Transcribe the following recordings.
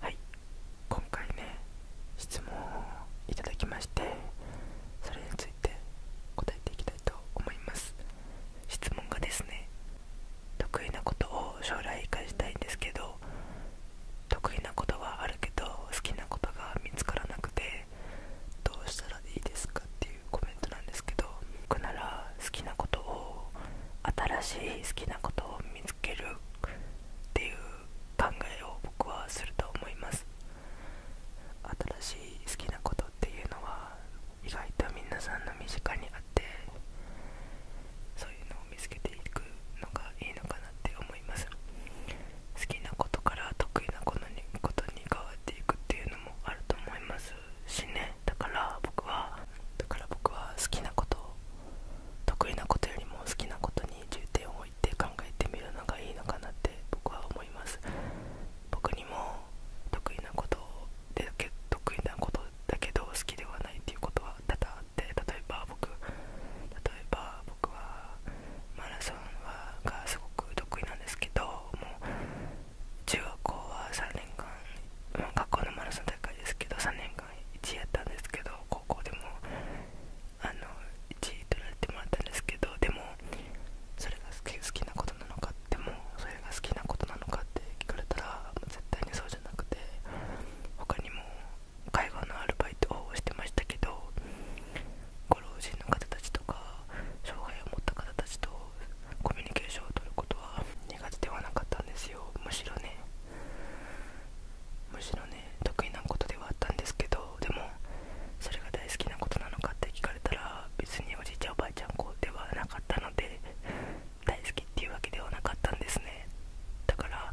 はい今回ね質問をいただきましてそれについて答えていきたいと思います質問がですね得意なことを将来生かしたいんですけど得意なことはあるけど好きなことが見つからなくてどうしたらいいですかっていうコメントなんですけど僕なら好きなことを新しい好きなことを見つけるっていう考えを僕はすると思います新しい好きなことっていうのは意外と皆さんの身近にあってそういうのを見つけていくのがいいのかなって思います好きなことから得意なことにことに変わっていくっていうのもあると思いますしねだから僕はだから僕は好きなこと得意なことよりも好きなことに重点を置いて考えてみるのがいいのかなって僕は思います僕にも得意なことで得意なことだけど好きではないっていうことは多々あって例えば僕例えば僕はマラソンはがすごく得意なんですけどもう中学校は3年間学校のマラソン大会ですけど3年1やったんですけど高校でもあの1位取られてもらったんですけどでもそれが好きなことなのかでもそれが好きなことなのかって聞かれたら絶対にそうじゃなくて他にも介護のアルバイトをしてましたけどご老人の方たちとか障害を持った方たちとコミュニケーションをとることは苦手ではなかったんですよむしろねむしろね得意なことではあったんですけどでもそれが大好きなことなのかって聞かれたら別におじいちゃんおばあちゃん子ではなかったので大好きっていうわけではなかったんですねだから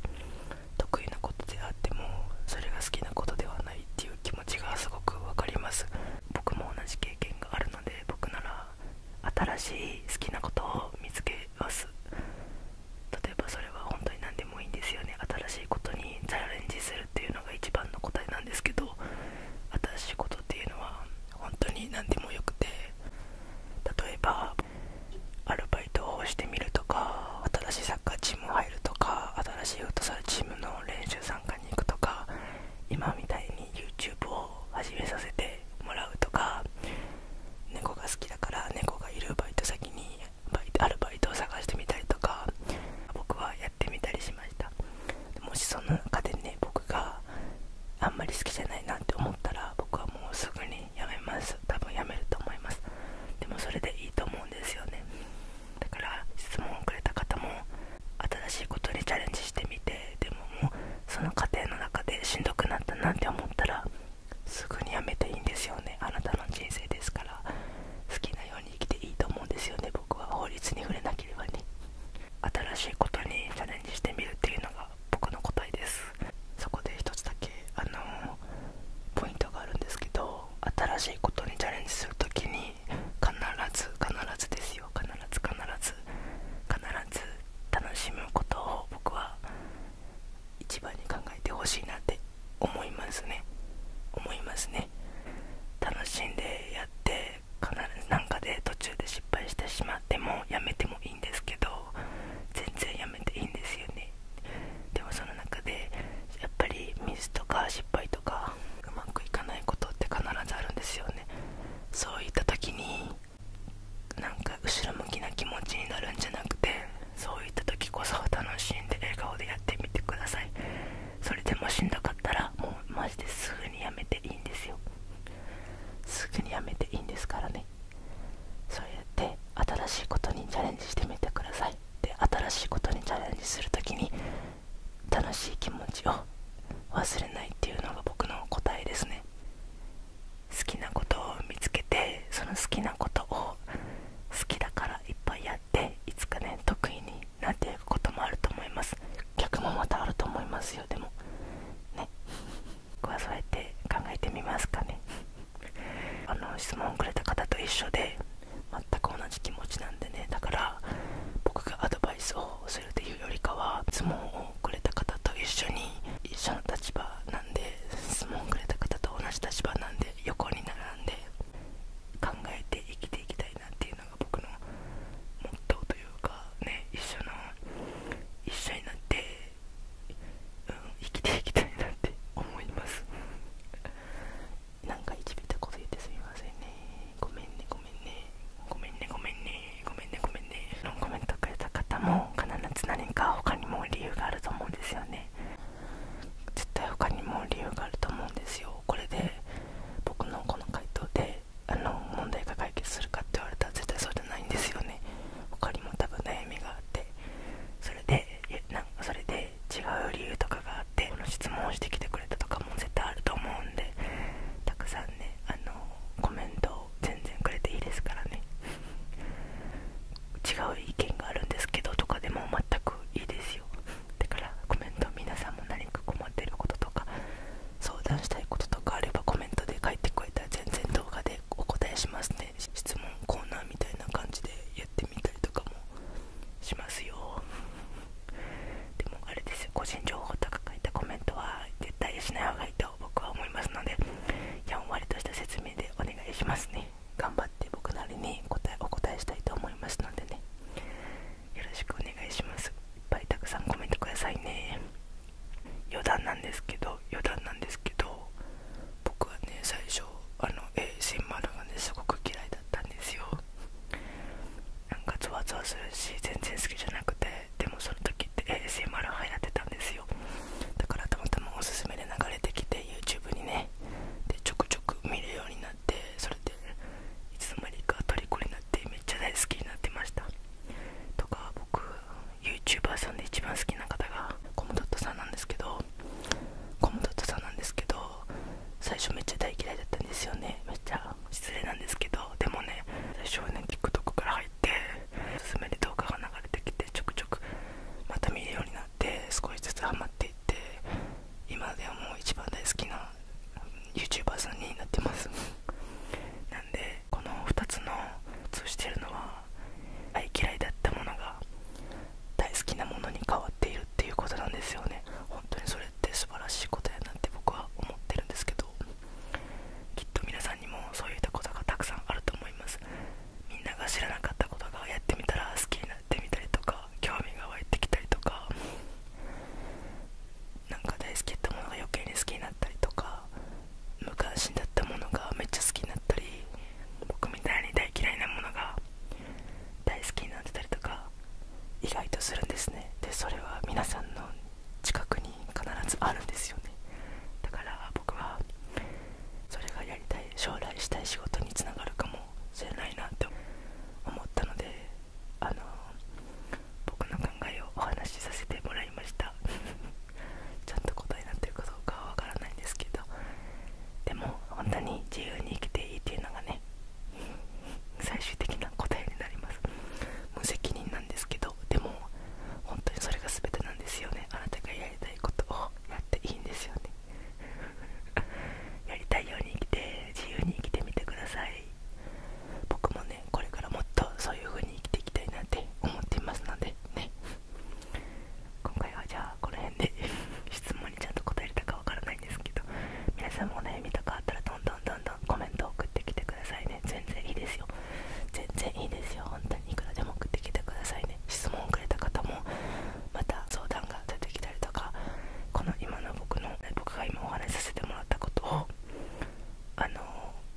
得意なことであってもそれが好きなことではないっていう気持ちがすごく分かります僕も同じ経験があるので僕なら新しい好きなことを見つけます例えばそれは本当に何でもいいんですよね新しいことにチャレンジするっていうのが一番の答えなんですけど新しいことっていうのは本当に何でもよくて例えばアルバイトをしてみるとか新しいサッカーチーム入るとか新しいフットサルチームの練習参加に行くとか今みたいに YouTube を始めさせてもらうとか猫が好きだから猫がいるバイト先にバイアルバイトを探してみたりとか僕はやってみたりしましたもしその中でに僕があんまり好きじゃないなって思ったら僕はもうすぐにやめます多分やめると思いますでもそれでいいと思うんですよねだから質問をくれた方も新しいことにチャレンジしてみてでももうその過程の中でしんどくなったなって思ったらすぐにやめていいんですよねあなたの人生ですから好きなように生きていいと思うんですよね僕は法律に触れなければね新しいことにチャレンジしてみるっていうのが僕の答えですそこで一つだけあのポイントがあるんですけど新しいことにチャレンジする時に必ず必ずですよ必ず必ず必ず楽しむことを僕は一番に考えてほしいなって思いますね思いますね楽しんでやって必ず何かで途中で失敗してしまってもやめてもいいんですけど全然やめていいんですよねでもその中でやっぱりミスとか失敗とかうまくいかないことって必ずあるんですよねそういった時になんか後ろ向きな気持ちになるんじゃなくてそういった時こそ楽しんで笑顔でやってみてくださいそれでもしんどかったらもうマジですぐにやめていいんですよすぐにやめていいんですからねそうやって新しいことにチャレンジしてみてくださいで新しいことにチャレンジする時に楽しい気持ちを忘れないっていうのが僕の答えですね好きなことを見つけてその好きなことを好きだからいっぱいやっていつかね得意になっていくこともあると思います逆もまたあると思いますよでもね僕はそうやって考えてみますかねあの質問をくれた方と一緒で全く同じ気持ちなんでねだから僕がアドバイスをするというよりかは相撲をくれた方と一緒に一緒の立場なんで相撲をくれた方と同じ立場なんで横に並んで考えて生きていきたいなっていうのが僕のモットーというかね一緒の一緒になって、うん、生きていきたいなって思いますなんかいじめたこと言ってすみませんねごめんねごめんねごめんねごめんねごめんねごめんねのコメントくれた方も必ず何か他にも理由があると思うんですよね絶対他にも理由があると思うんですよこれで僕のこの回答であの問題が解決するかって言われたら絶対そうじゃないんですよね他にも多分悩みがあってそれでなそれで違う理由とかがあってこの質問をしてきてくれたとかも絶対あると思うんでたくさんねあのコメントを全然くれていいですからね違う意見があるんですけどとかでも全くいいですよだからコメント皆さんも何か困ってることとか相談したいこととかあればコメントで書いてくれたら全然動画でお答えしますね質問コーナーみたいな感じでやってみたりとかもしますよでもあれですよ個人情報とか書いたコメントは絶対しない方がいいと僕は思いますのでやんわりとした説明でお願いしますね頑張って僕なりに答えお答えしたいと思いますのでねよろしくお願いしますいっぱいたくさんコメントくださいね余談なんですけど余談なんですけど僕はね最初あの ASMR がねすごく嫌いだったんですよなんかゾワゾワするし全然好きじゃなくてでもその時って s m r 流行ってたんですよだからたまたまおすすめで流れてきて YouTube にねでちょくちょく見るようになってそれでいつの間にか虜になってめっちゃ大好きになってましたとか僕 YouTuber さんで一番好きな方がコムドットさんなんですけどコムドットさんなんですけど最初めっちゃ大嫌いだったんですよねめっちゃ失礼なんですけどでもね最初はね TikTok から入っておすすめで動画が流れてきてちょくちょくまた見るようになって少しずつハマっていって今ではもう一番大好きな YouTuber さんになってますなんでこの2つの通してるのは大嫌いだったものが大好きなものに変わっているっていうことなんですよね本当にそれって素晴らしいことやなって僕は思ってるんですけどきっと皆さんにもそういったことがたくさんあると思いますみんなが知らなかったことがやってみたら好きになってみたりとか興味が湧いてきたりとかなんか大好きだったものが余計に好きになったりとか無関心だったものがめっちゃ好きになったり僕みたいに大嫌いなものが大好きになってたりとか意外とするんですねでそれは皆さんの近くに必ずあるんですよねだから僕はそれがやりたい将来したい仕事につながるかもしれないなと思ったのであの僕の考えをお話しさせてもらいました ちゃんと答えになってるかどうかはわからないんですけどでも本当に自由に生きていいっていうのがね最終的な答えになります無責任なんですけどでも本当にそれが全てなんですよねあなたがやりたいことをやっていいんですよね やりたいように生きて自由に生きてみてください僕もねこれからもっとそういう風に生きていきたいなって思っていますのでね今回はじゃあこの辺で 質問にちゃんと答えれたかわからないんですけど皆さんもお悩みとかあったらどんどんどんコメント送ってきてくださいね全然いいですよ全然いいですよ本当にいくらでも送ってきてくださいね質問をくれた方もまた相談が出てきたりとかこの今の僕の僕が今お話しさせてもらったことをあの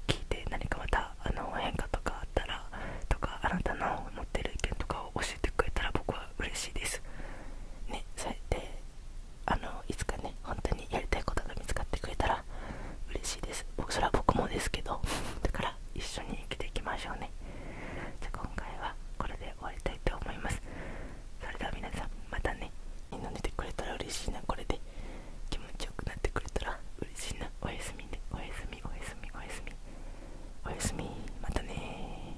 聞いて何かまたあの変化とかあったらとかあなたの思ってる意見とかを教えてくれたら僕は嬉しいですねそうやあのいつかね本当にやりたいことが見つかってくれたら嬉しいです僕それは僕もですけど だから一緒に生きていきましょうねじゃあ今回はこれで終わりたいと思いますそれでは皆さんまたね飲んでてくれたら嬉しいなこれで気持ちよくなってくれたら嬉しいなおやすみねおやすみおやすみおやすみおやすみまたね